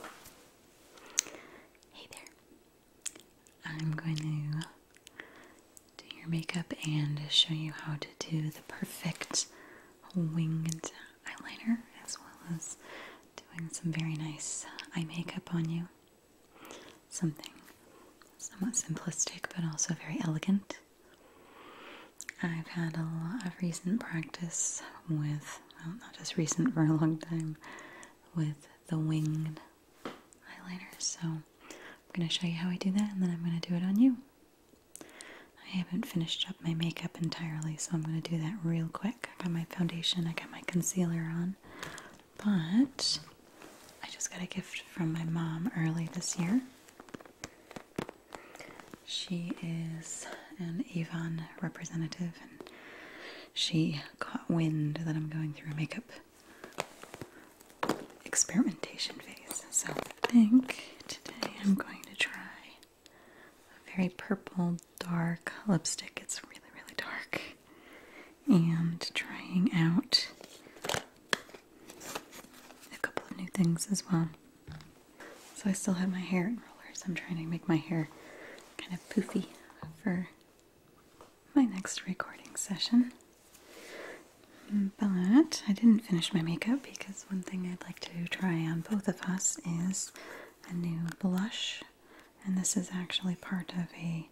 Hey there. I'm going to do your makeup and show you how to do the perfect winged eyeliner as well as doing some very nice eye makeup on you. Something somewhat simplistic but also very elegant. I've had a lot of recent practice with not just recent for a long time, with the winged highlighter. So I'm going to show you how I do that and then I'm going to do it on you. I haven't finished up my makeup entirely, so I'm going to do that real quick. I got my foundation, I got my concealer on, but I just got a gift from my mom early this year. She is an Avon representative she caught wind that I'm going through a makeup experimentation phase. So I think today I'm going to try a very purple dark lipstick. It's really, really dark. And trying out a couple of new things as well. So I still have my hair in rollers. I'm trying to make my hair kind of poofy for my next recording session. But I didn't finish my makeup because one thing I'd like to try on both of us is a new blush, and this is actually part of a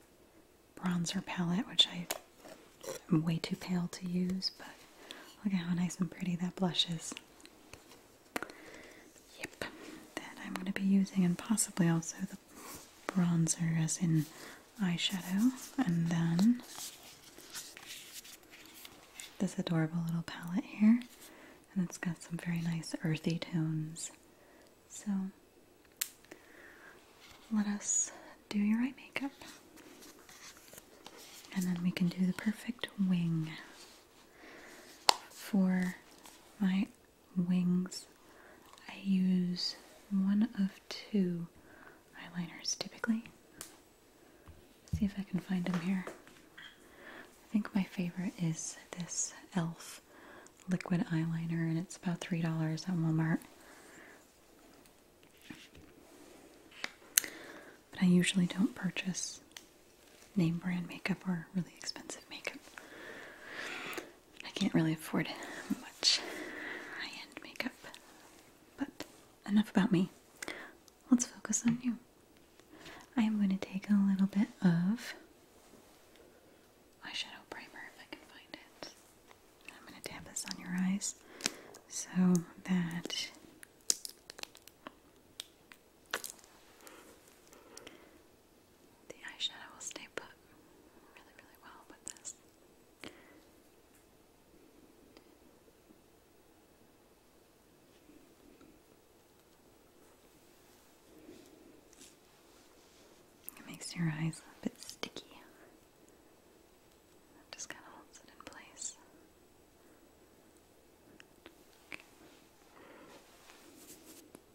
bronzer palette which I am way too pale to use, but look at how nice and pretty that blush is. Yep, then I'm going to be using, and possibly also the bronzer as in eyeshadow, and then this adorable little palette here, and it's got some very nice earthy tones. So let us do your eye makeup. And then we can do the perfect wing for my wings. I use one of two eyeliners typically. see if I can find them here. I think my favorite is this e.l.f. liquid eyeliner, and it's about $3 at Walmart. But I usually don't purchase name brand makeup or really expensive makeup. I can't really afford much high-end makeup. But enough about me. Let's focus on you. I am going to take a little bit of eyeshadow primer if I can find it. I'm going to dab this on your eyes so that the eyeshadow will stay put really, really well with this. It makes your eyes a bit sticky. just kind of holds it in place.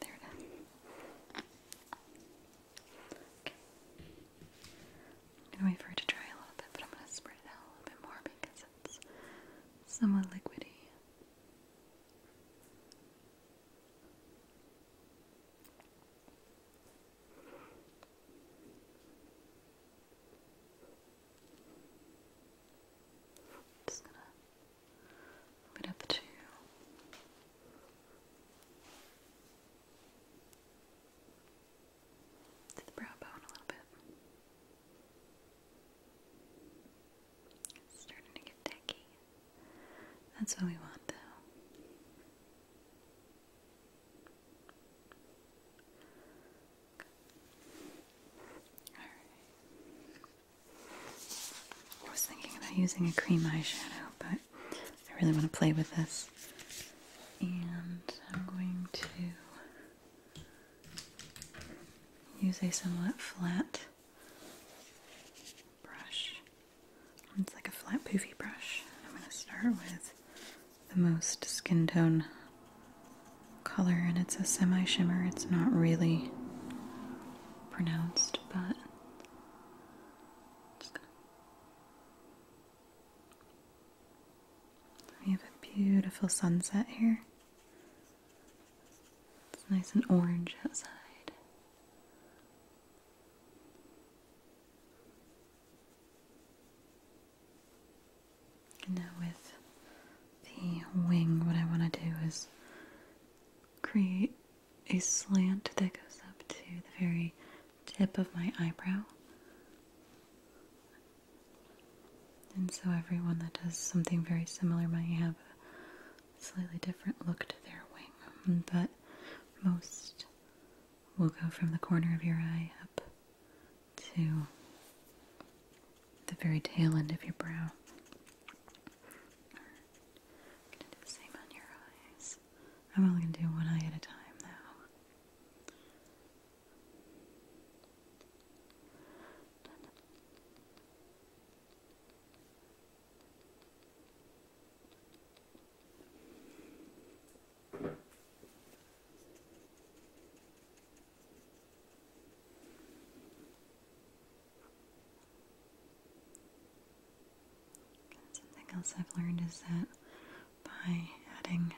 There it is. Okay. I'm gonna wait for it to dry a little bit, but I'm gonna spread it out a little bit more because it's somewhat liquidy. Just gonna up to the brow bone a little bit. starting to get tacky. That's what we want though. All right. I was thinking about using a cream eyeshadow, but I really want to play with this. And I'm going to use a somewhat flat brush. It's like a flat poofy brush. I'm going to start with the most skin tone color and it's a semi shimmer. It's not really pronounced, but just we have a beautiful sunset here. It's nice and orange outside. And now with the wing, what I want to do is create a slant that goes up to the very tip of my eyebrow. And so everyone that does something very similar might have a slightly different look to their wing, mm, but most will go from the corner of your eye up to the very tail end of your brow. same on your eyes. I'm only gonna do one eye at a time now something else I've learned is that by adding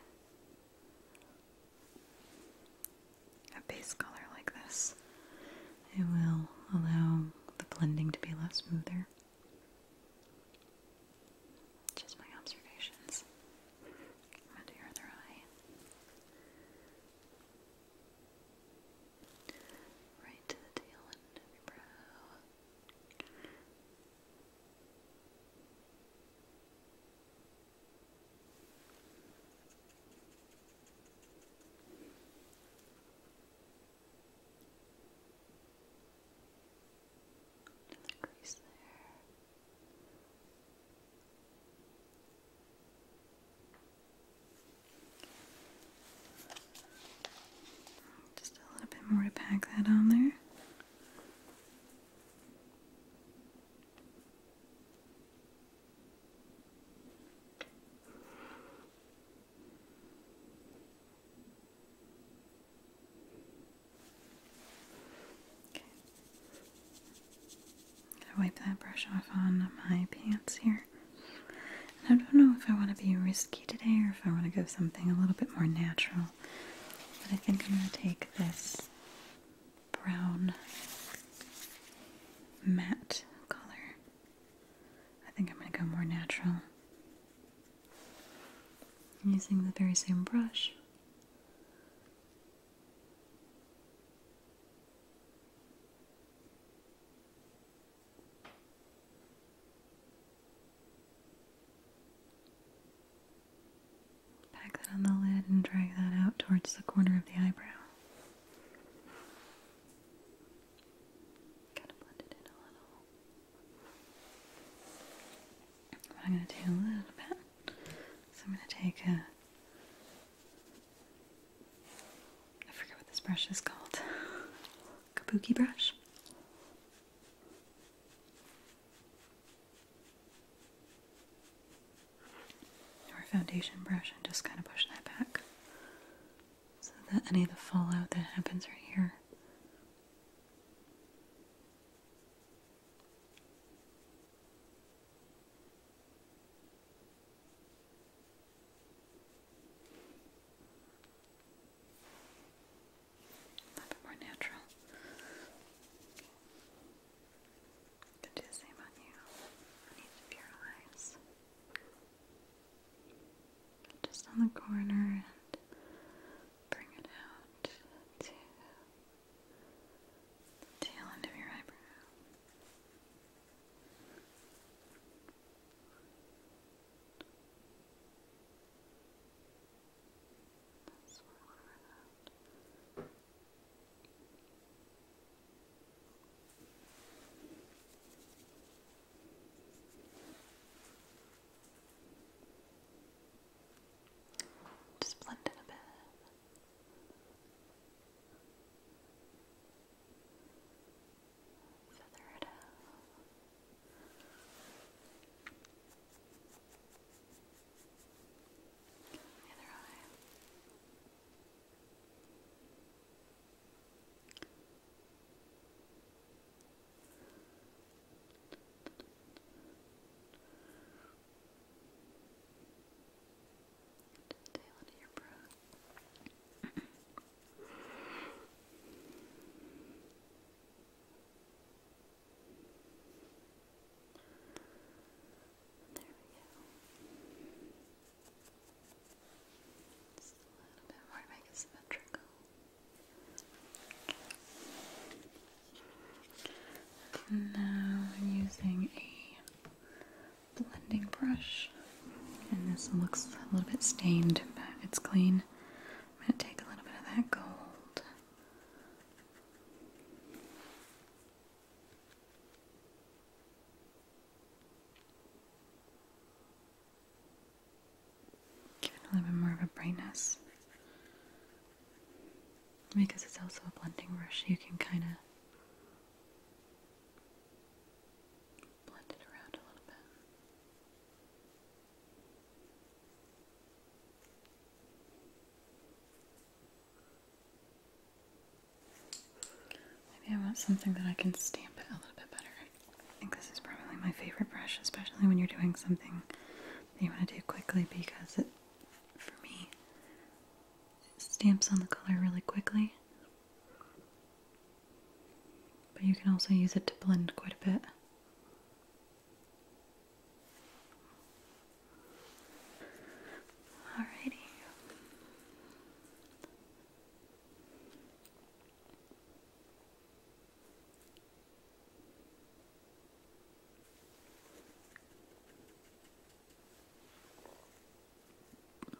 a base color like this, it will allow the blending to be less smoother. Just my observations. I'm your other eye. Right to the tail end of your brow. Another crease there. Just a little bit more to pack that on there. Okay. I wipe that brush off on my pants here. I don't know if I want to be risky today or if I want to go something a little bit more natural. But I think I'm going to take this brown matte color. I think I'm going to go more natural. using the very same brush. Pack that on the lid and drag that out towards the corner of the eyebrow. Kind of blend in a little. I'm going to do a little bit. So I'm going to take a I forget what this brush is called. Kabuki brush. Or foundation brush and just kind of push that back so that any of the fallout that happens right here a little bit more natural. Could do the same on you. On each of your eyes. Just on the corner and bring it out to the tail end of your eyebrow. That's where Just blend it a bit. Feather it out. The other eye. Good. Just tail there we go. Just a little bit more to make it symmetrical. Now I'm using a blending brush. And this looks a little bit stained, but it's clean. I'm going to take a little bit of that gold. Give it a little bit more of a brightness. Because it's also a blending brush, you can kind of Maybe I want something that I can stamp it a little bit better. I think this is probably my favorite brush, especially when you're doing something that you want to do quickly because it, for me, it stamps on the color really quickly. But you can also use it to blend quite a bit. Alrighty. And then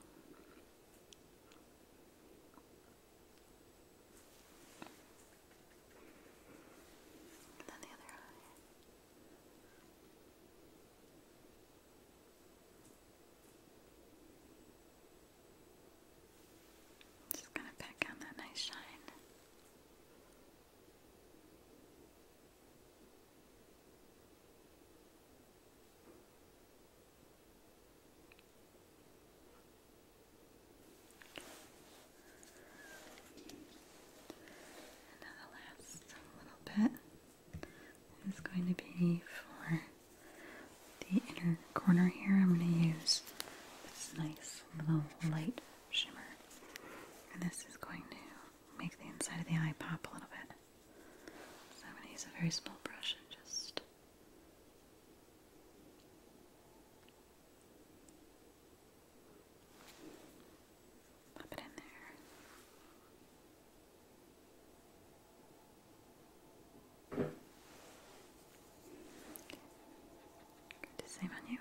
Just gonna pack on that nice shine. And now the last little bit is going to be for the inner corner here. I'm going to use this nice little light shimmer. And this is going to make the inside of the eye pop a little bit. So I'm going to use a very small brush and just Pop it in there. the same on you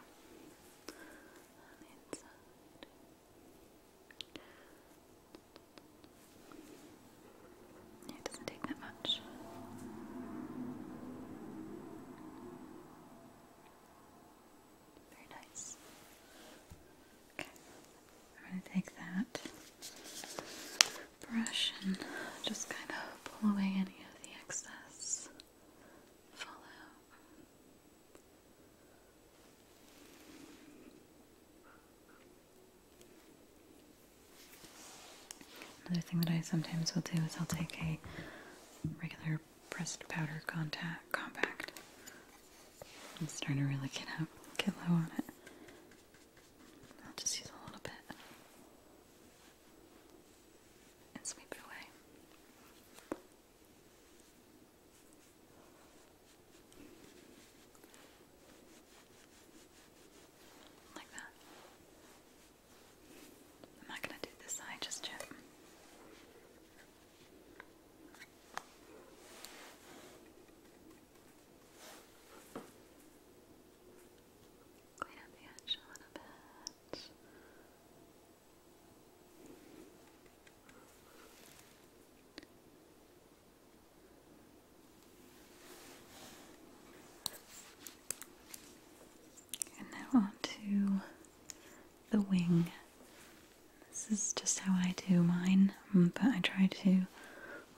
it doesn't take that much. Very nice. Okay, I'm going to take that brush and just kind of pull away any of the excess fallout. Another thing that I sometimes will do is I'll take a regular pressed powder contact compact. I'm starting to really get up, get low on it. I'll just use a little bit and sweep it away. Like that. I'm not going to do this side just yet. Clean up the edge a little bit. And now on to the wing. This is just how I do mine, mm, but I try to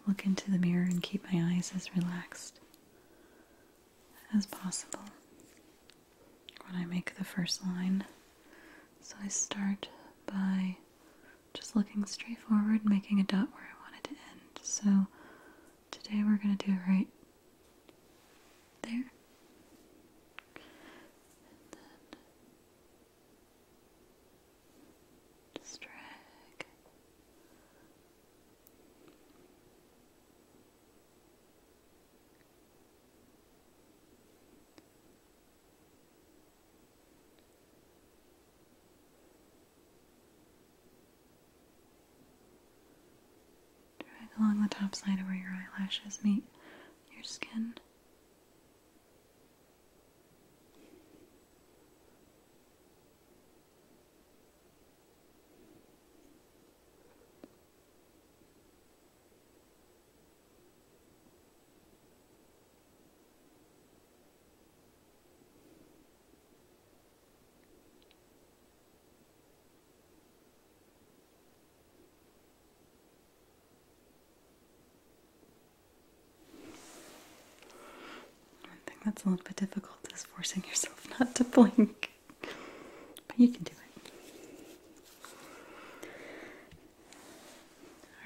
look into the mirror and keep my eyes as relaxed as possible when I make the first line. So I start by just looking straight forward, making a dot where I wanted to end. So today we're going to do it right there. just drag. Drag along the top side of where your eyelashes meet your skin. One thing that's a little bit difficult is forcing yourself not to blink, but you can do it.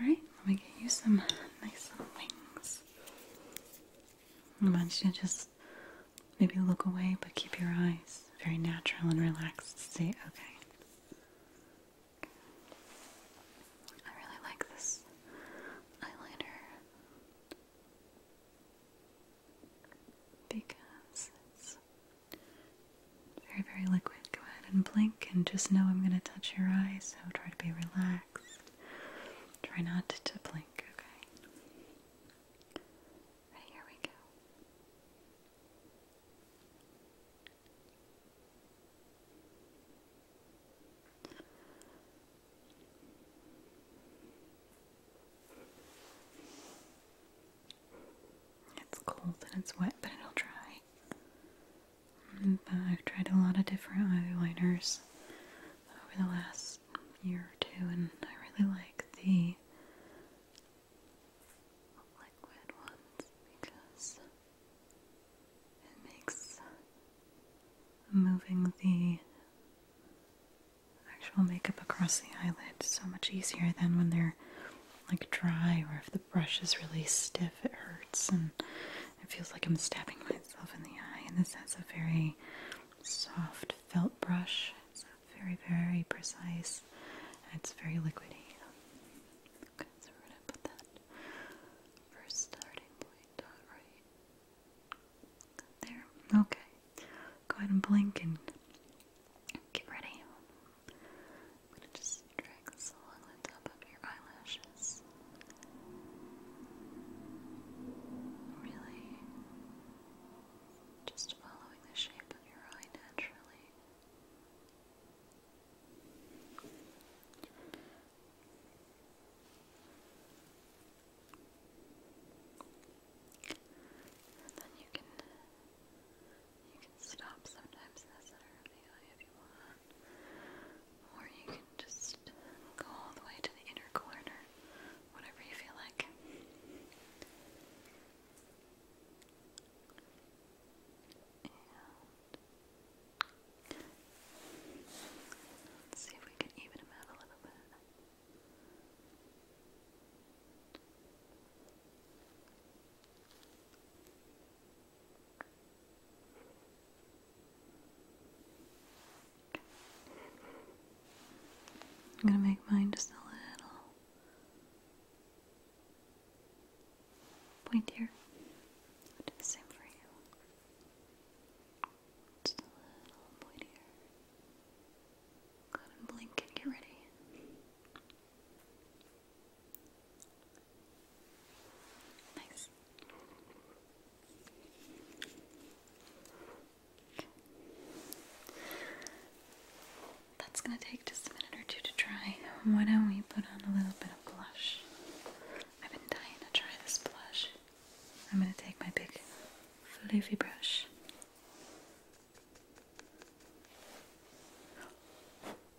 Alright, let me get you some nice wings. I want you to just maybe look away, but keep your eyes very natural and relaxed. Say, okay. I really like this eyeliner because it's very, very liquid. Go ahead and blink and just know I'm going to touch your eyes, so try to be relaxed. Try not to blink, okay? Right, here we go. It's cold and it's wet, but it'll dry. Mm, but I've tried a lot of different eyeliners over the last year or two, and I really like the liquid ones because it makes moving the actual makeup across the eyelid so much easier than when they're like dry or if the brush is really stiff it hurts and it feels like I'm stabbing myself in the eye, and this has a very soft felt brush. It's very, very precise, it's very liquidy. Okay, so we're gonna put that first starting point right there. Okay, go ahead and blink and get ready. I'm gonna just drag this along the top of your eyelashes is really just following the shape of your eye naturally. And then you can you can stop sometimes in the center of the eye if you want or you can just go all the way to the inner corner, whatever you feel like. And let's see if we can even them out a little bit. I'm going to make mine just a little pointier. I'll do the same for you. Just a little pointier. Go ahead and blink and get ready. Nice. That's going to take just a minute or two to dry. Why don't we put on a little bit of blush? I've been dying to try this blush. I'm going to take my big floofy brush.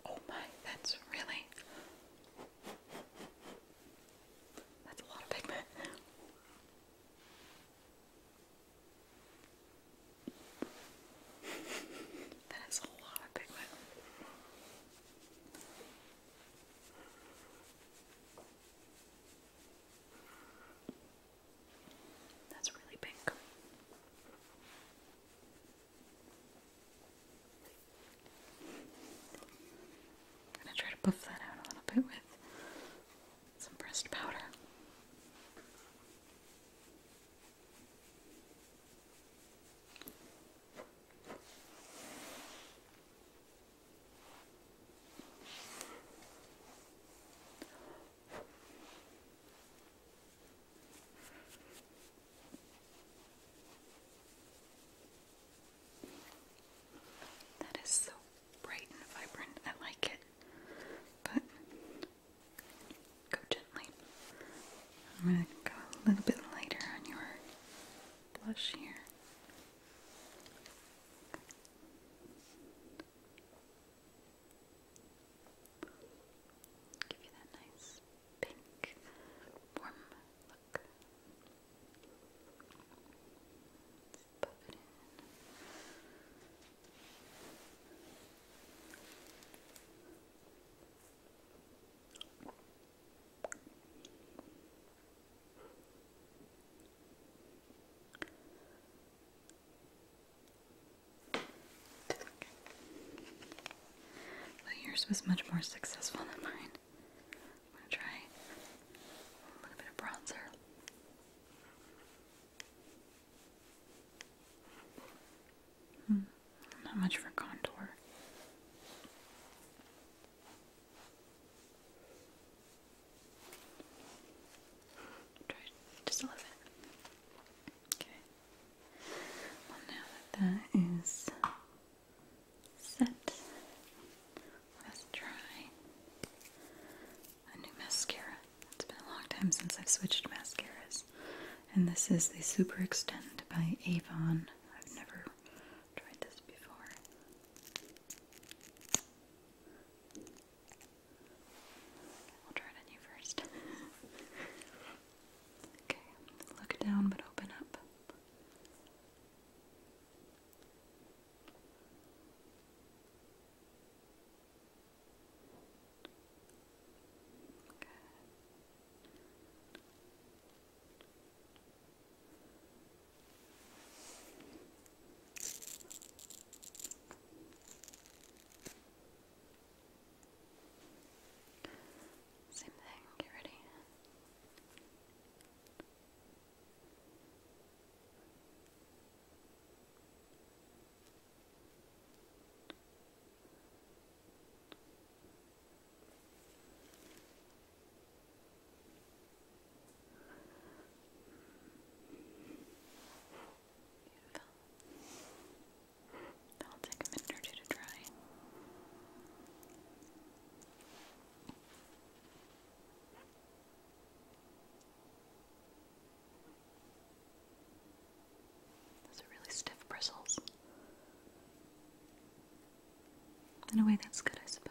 Oh my, that's really that's a lot of pigment. that is a lot of pigment. That's really pink. I'm gonna try to buff that out a little bit with some pressed powder. That is so bright and vibrant. I like it. But go gently. I'm going to go a little bit lighter on your blush here. Give you that nice pink, warm Pluck. yours was much more successful than mine. I'm going to try a little bit of bronzer. Hmm, not much for contour. Try just a little bit. Okay. Well, now that that is set. Let's try a new mascara. It's been a long time since I've switched mascaras. And this is the Super Extend by Avon. I've never tried this before. We'll try it on you first. okay, look down but open up. Good. Same thing, get ready. That'll take a minute or two to dry. Okay. Those are really stiff bristles. In a way, that's good, I suppose.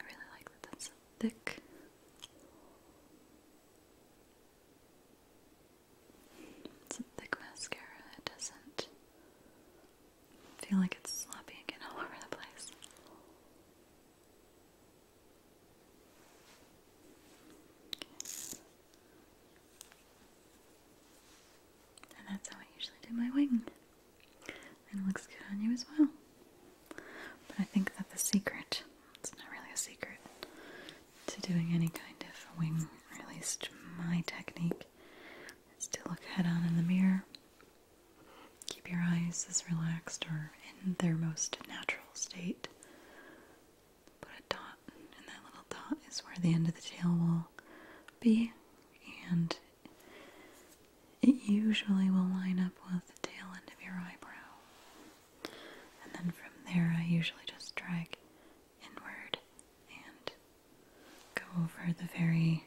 I really like that that's so thick. It's a thick mascara. It doesn't feel like it's sloppy again all over the place. And that's how I usually do my wing. And it looks good on you as well. But I think that the secret, it's not really a secret, to doing any kind of wing, at least my technique, is to look head on in the mirror. Keep your eyes as relaxed or in their most natural state. Put a dot, and that little dot is where the end of the tail will be, and it usually will line up with the tail end of your eyebrow. And then from there, I usually just drag inward and go over the very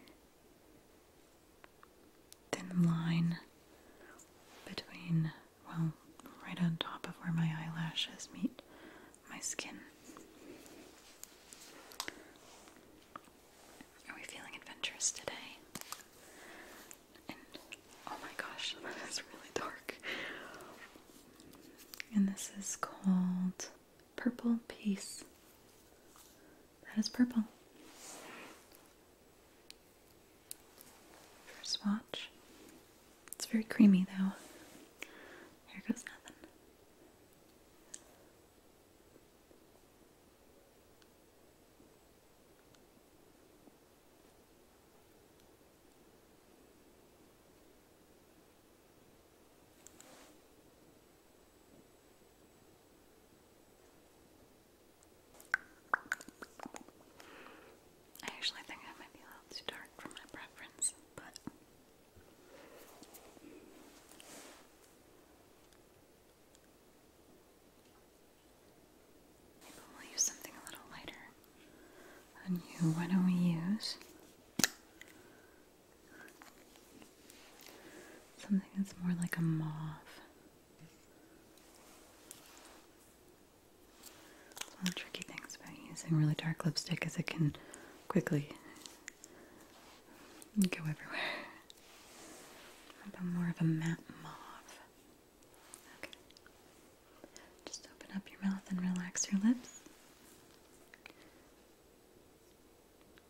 thin line between, well, right on top of where my eyelashes meet my skin. Are we feeling adventurous today? And oh my gosh, that is really dark. And this is called Purple Peace. That is purple. First swatch. It's very creamy though. Here goes nothing. I actually think I might be a little too dark for my preference, but Maybe we'll use something a little lighter on you. Why don't we use something that's more like a mauve? one tricky things about using really dark lipstick is it can quickly you go everywhere. How about more of a matte mauve? Just open up your mouth and relax your lips.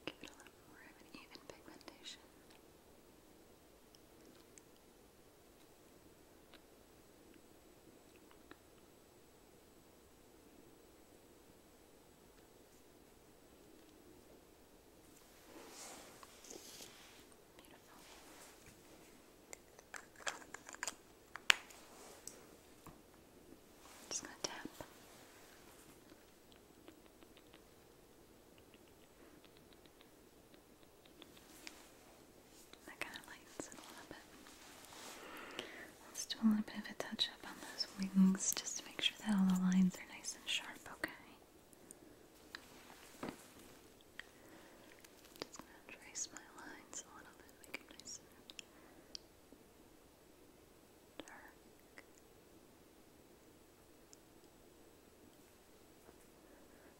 Give it a little more of an even pigmentation. Beautiful. Just gonna tap. That kind of lightens it a little bit. Let's do a little bit of a touch up on those wings just to make sure that all the lines are nice and sharp, okay? Just gonna trace my lines a little bit, make them nice dark.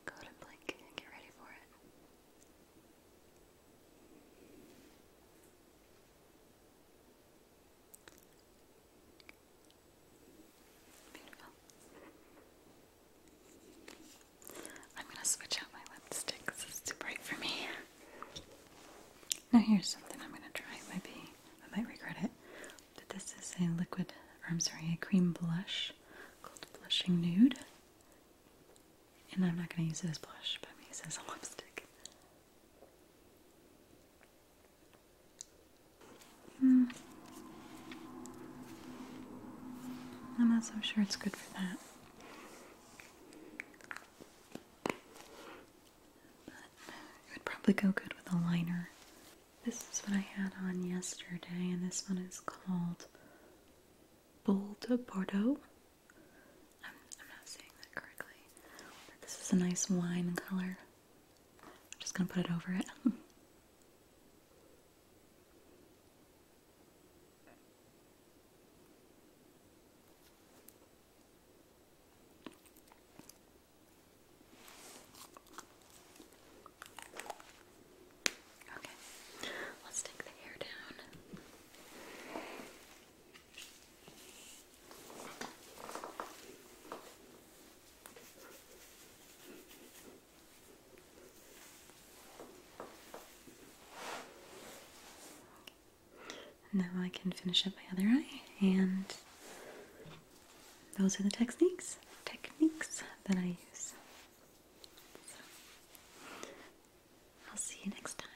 Go to blink and get ready for it. I'm going to switch out my lipstick because it's too bright for me. Now, here's something I'm going to try. It might be, I might regret it. But this is a liquid, or I'm sorry, a cream blush called Blushing Nude. And I'm not going to use it as blush, but I'm going to use it as a lipstick. Mm. I'm not so sure it's good for that. it would probably go good with a liner. This is what I had on yesterday, and this one is called Bold Bordeaux. I'm, not saying that correctly. this is a nice wine color. I'm just gonna put it over it. Okay, let's take the hair down. Now I can finish up my other eye, and those are the techniques techniques that I use. I'll see you next time.